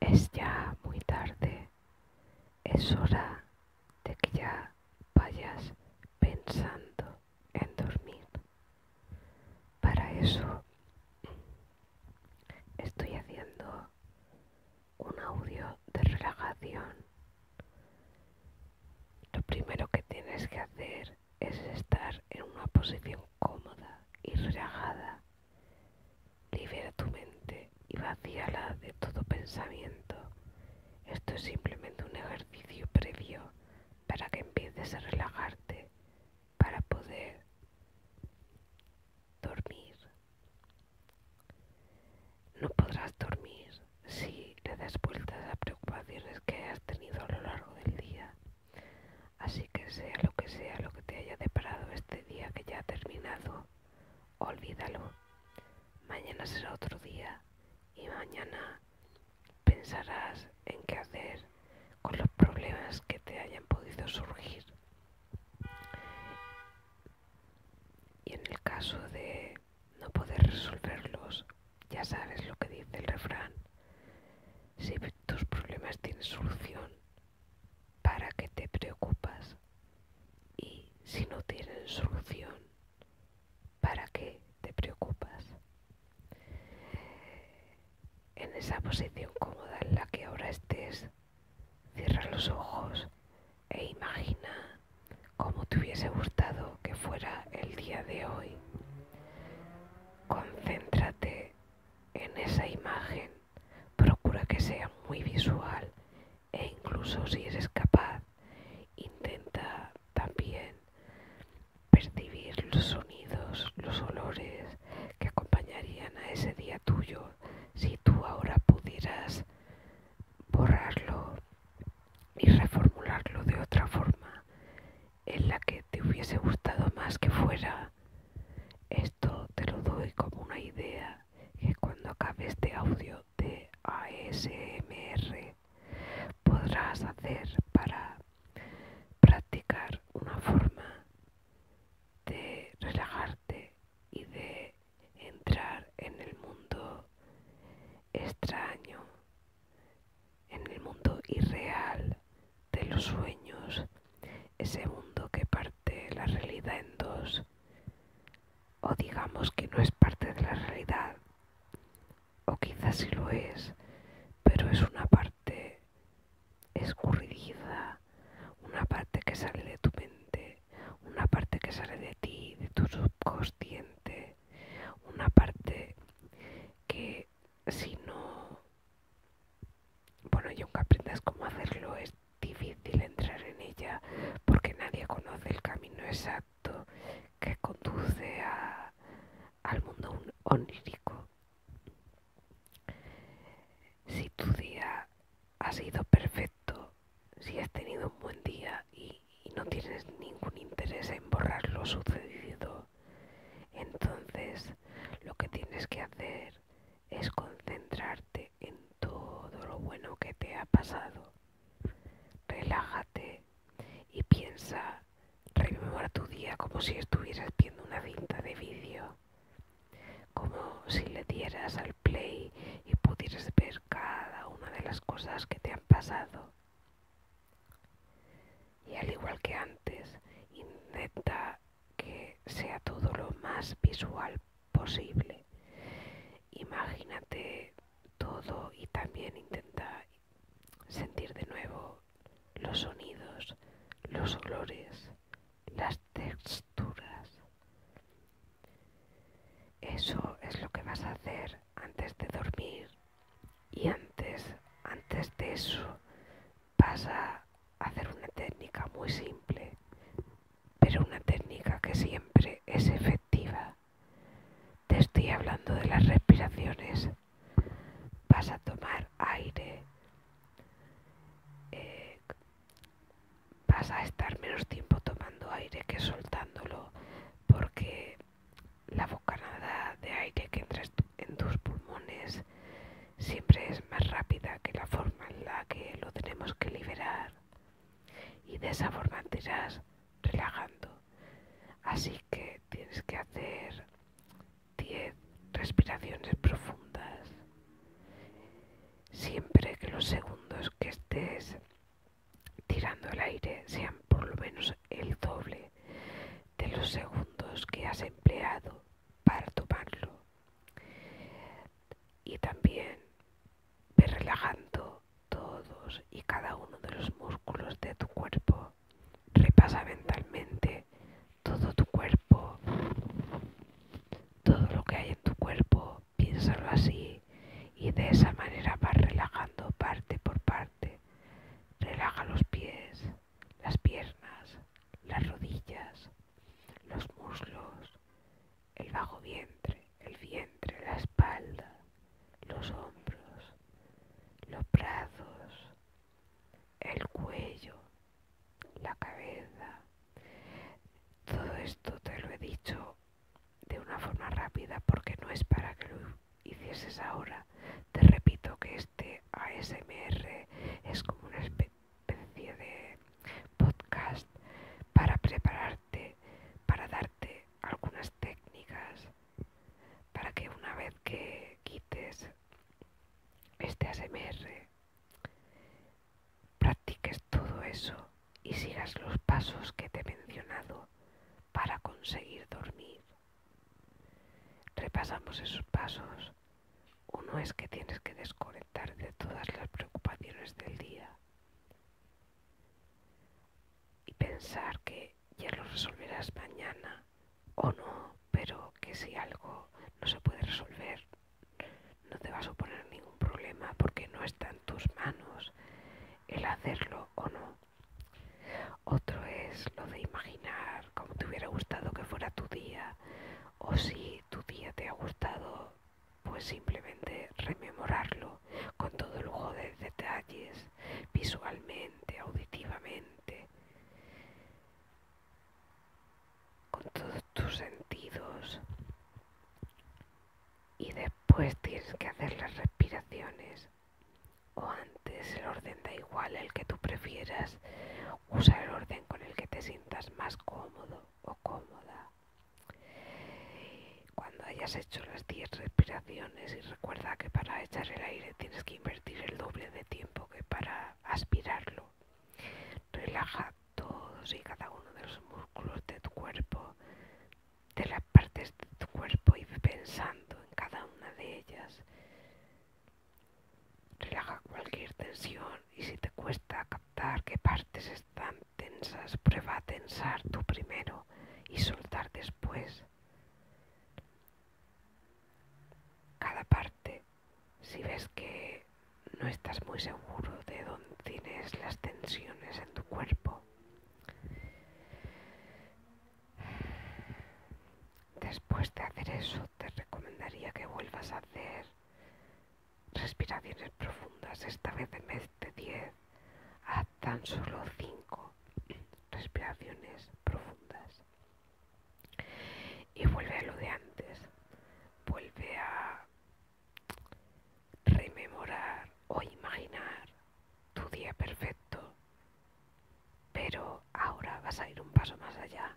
Es ya muy tarde. Es hora de que ya vayas pensando en dormir. Para eso estoy haciendo un audio de relajación. Lo primero que tienes que hacer es estar en una posición cómoda y relajada. Libera tu mente y vacíala de todo pensamiento. Esto es simplemente un ejercicio previo para que empieces a relajarte, para poder dormir. No podrás dormir si le das vueltas a preocupaciones que has tenido a lo largo del día. Así que sea lo que sea lo que te haya deparado este día que ya ha terminado, olvídalo. Mañana será otro día y mañana pensarás en qué hacer con los problemas que te hayan podido surgir. Y en el caso de no poder resolverlos, ya sabes lo que dice el refrán. Si tus problemas tienen solución, ¿para qué te preocupas? Y si no tienen solución, ¿para qué te preocupas? En esa posición cómoda en la que ahora estés, cierra los ojos e imagina cómo te hubiese gustado que fuera el día de hoy. Concéntrate en esa imagen, procura que sea muy visual e incluso si eres capaz, intenta también percibir los sonidos, los olores que acompañarían a ese día tuyo si tú ahora pudieras borrarlo y reformularlo de otra forma en la que te hubiese gustado más que fuera. Esto te lo doy como una idea que cuando acabes este audio de ASMR podrás hacer para practicar una forma de relajarte y de entrar en el mundo extraño en el mundo irreal de los sueños, ese mundo que parte la realidad en dos, o digamos que no es parte de la realidad, o quizás sí lo es, pero es una parte escurridiza, una parte que sale de tu mente, una parte que sale de ti, de tu subconsciente, una parte que si no, bueno, y aunque aprendas cómo hacerlo, es difícil entrar en ella porque nadie conoce el camino exacto que conduce al mundo onírico. Si tu día ha sido perfecto, si has tenido un buen día, y, no tienes ningún interés en borrar lo sucedido, entonces lo que tienes que hacer es concentrarte en todo lo bueno que te ha pasado. Relájate y piensa, rememora tu día como si estuvieras viendo una cinta de vídeo, como si le dieras al play y pudieras ver cada una de las cosas que te han pasado. Y al igual que antes, intenta que sea todo lo más visual posible. Imagínate todo y también intenta sentir de nuevo los sonidos, los olores, las texturas. Eso es lo que vas a hacer antes de dormir y antes, antes de eso vas a hacer una técnica muy simple, pero una técnica que siempre es efectiva. Te estoy hablando de las respiraciones. Vas a tomar aire. Eh, vas a estar menos tiempo tomando aire que soltándolo porque la bocanada de aire que entras en tus pulmones siempre es más rápida que la forma en la que lo tenemos que liberar. Y de esa forma te irás relajando. Así que tienes que hacer 10 respiraciones profundas. Siempre que los segundos que estés tirando el aire sean por lo menos el doble de los segundos que has empleado para tomarlo. Y también ve relajando todos y cada uno de los músculos de tu cuerpo. Repasa mentalmente todo tu cuerpo, todo lo que hay en tu cuerpo piénsalo así y de esa manera vas relajando parte por parte. Relaja los pies, las piernas, las rodillas, los muslos, el bajo vientre, el vientre, la espalda, los hombros, los brazos, el cuello, la cabeza. Todo esto te lo he dicho de una forma rápida porque no es para que lo hicieses ahora. Te repito que este ASMR es como una especie de podcast para prepararte, para darte algunas técnicas, para que una vez que quites este ASMR practiques todo eso y sigas los pasos que te he mencionado para conseguir dormir. Repasamos esos pasos. Uno es que tienes que desconectar de todas las preocupaciones del día y pensar que ya lo resolverás mañana o no, pero que si algo no se puede resolver, no te va a suponer ningún problema porque no está en tus manos el hacerlo o no. Otro es lo de imaginar cómo te hubiera gustado que fuera tu día o si tu día te ha gustado, pues simplemente rememorarlo con todo lujo de detalles, visualmente, auditivamente con todos tus sentidos y después tienes que hacer las respiraciones o antes el orden da igual el que tú prefieras usa el orden con el que te sientas más cómodo o cómoda cuando hayas hecho las 10 respiraciones y recuerda que para echar el aire tienes que invertir el doble de tiempo que para aspirarlo relaja todos y cada uno de los músculos de tu cuerpo, de las partes de tu cuerpo y pensando en cada una de ellas. Relaja cualquier tensión y si te cuesta captar qué partes están tensas, prueba a tensar tú primero y soltar después. Cada parte si ves que no estás muy seguro de dónde tienes las tensiones en tu cuerpo, después de hacer eso te recomendaría que vuelvas a hacer respiraciones profundas, esta vez en vez de 10, a tan solo 5 respiraciones profundas. Y vuelve a lo de antes, vuelve a rememorar o imaginar tu día perfecto, pero ahora vas a ir un paso más allá,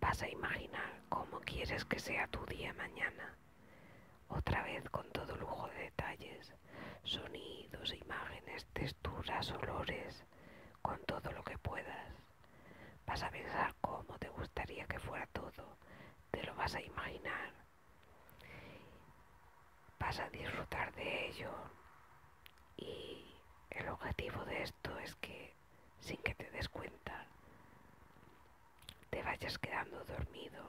vas a imaginar cómo quieres que sea tu día mañana, otra vez con todo lujo de detalles, sonidos, imágenes, texturas, olores, con todo lo que puedas. Vas a pensar cómo te gustaría que fuera todo, te lo vas a imaginar, vas a disfrutar de ello y el objetivo de esto es que sin que te des cuenta te vayas quedando dormido,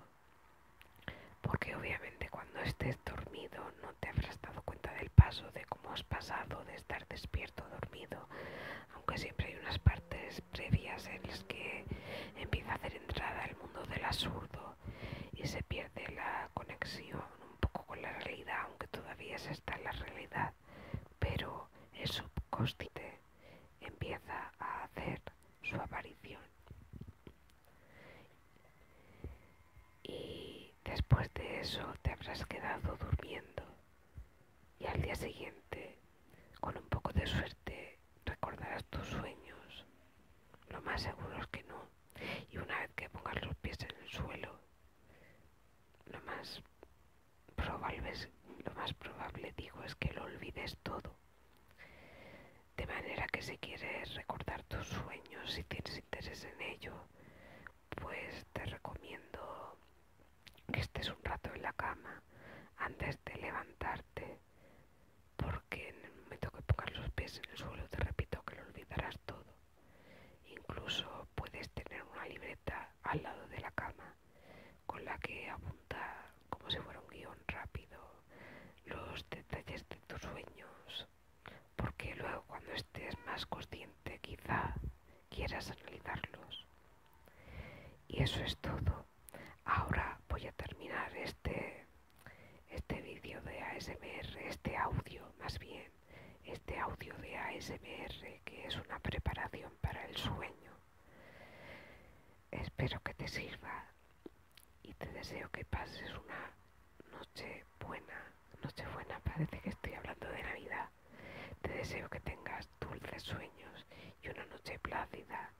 porque obviamente cuando estés dormido no te habrás dado cuenta del paso de cómo has pasado de estar despierto dormido aunque siempre hay unas partes previas en las que empieza a hacer entrada el mundo del absurdo y se pierde la conexión un poco con la realidad, aunque todavía se está en la realidad, pero el subcóstite empieza a hacer su aparición. Y después de eso te habrás quedado durmiendo y al día siguiente, con un poco de suerte, recordarás tus sueños. Lo más seguro es que no. Y una vez que pongas los pies en el suelo, lo más probable, lo digo, es que lo olvides todo. De manera que si quieres recordar tus sueños, si tienes interés en ello, pues te recomiendo que estés un rato en la cama antes de levantarte, porque en el momento que pongas los pies en el suelo, te repito que lo olvidarás todo. Incluso puedes tener una libreta al lado de la cama con la que apuntar como si fuera un guión rápido los detalles de tus sueños porque luego cuando estés más consciente quizá quieras analizarlos. Y eso es todo. Ahora voy a terminar este, este vídeo de ASMR, este audio más bien, este audio de ASMR que es una preparación para el sueño. Espero que te sirva y te deseo que pases una noche buena noche buena parece que estoy hablando de Navidad. Te deseo que tengas dulces sueños y una noche plácida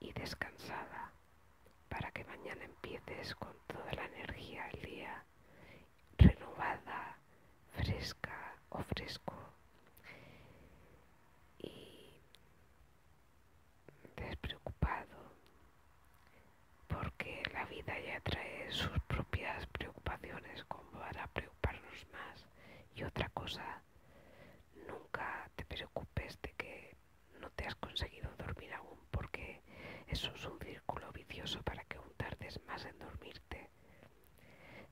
y descansada para que mañana empieces con toda la energía del día, renovada, fresca o fresco. Y despreocupado porque la vida ya trae sus propias preocupaciones como para preocuparnos más. Y otra cosa, nunca te preocupes de que no te has conseguido dormir aún, porque eso es un círculo vicioso para que un tardes más en dormirte.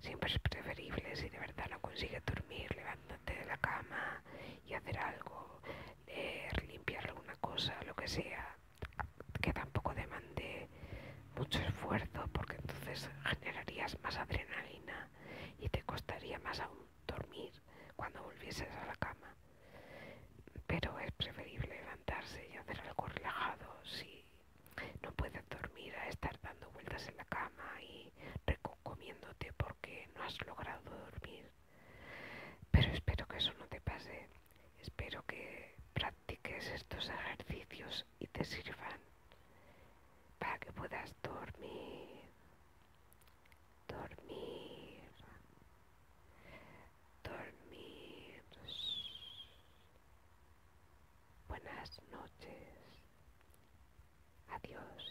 Siempre es preferible, si de verdad no consigues dormir, levántate de la cama y hacer algo, limpiar alguna cosa, lo que sea que tampoco demande mucho esfuerzo porque entonces generarías más adrenalina y te costaría más aún dormir cuando volvieses a la cama. Pero es preferible levantarse y hacer algo relajado si no puedes dormir a estar dando vueltas en la cama y recomiéndote porque no has logrado dormir. Pero espero que eso no te pase. Espero que practiques estos ejercicios y te sirvan para que puedas dormir, dormir, dormir. Buenas noches. Adiós.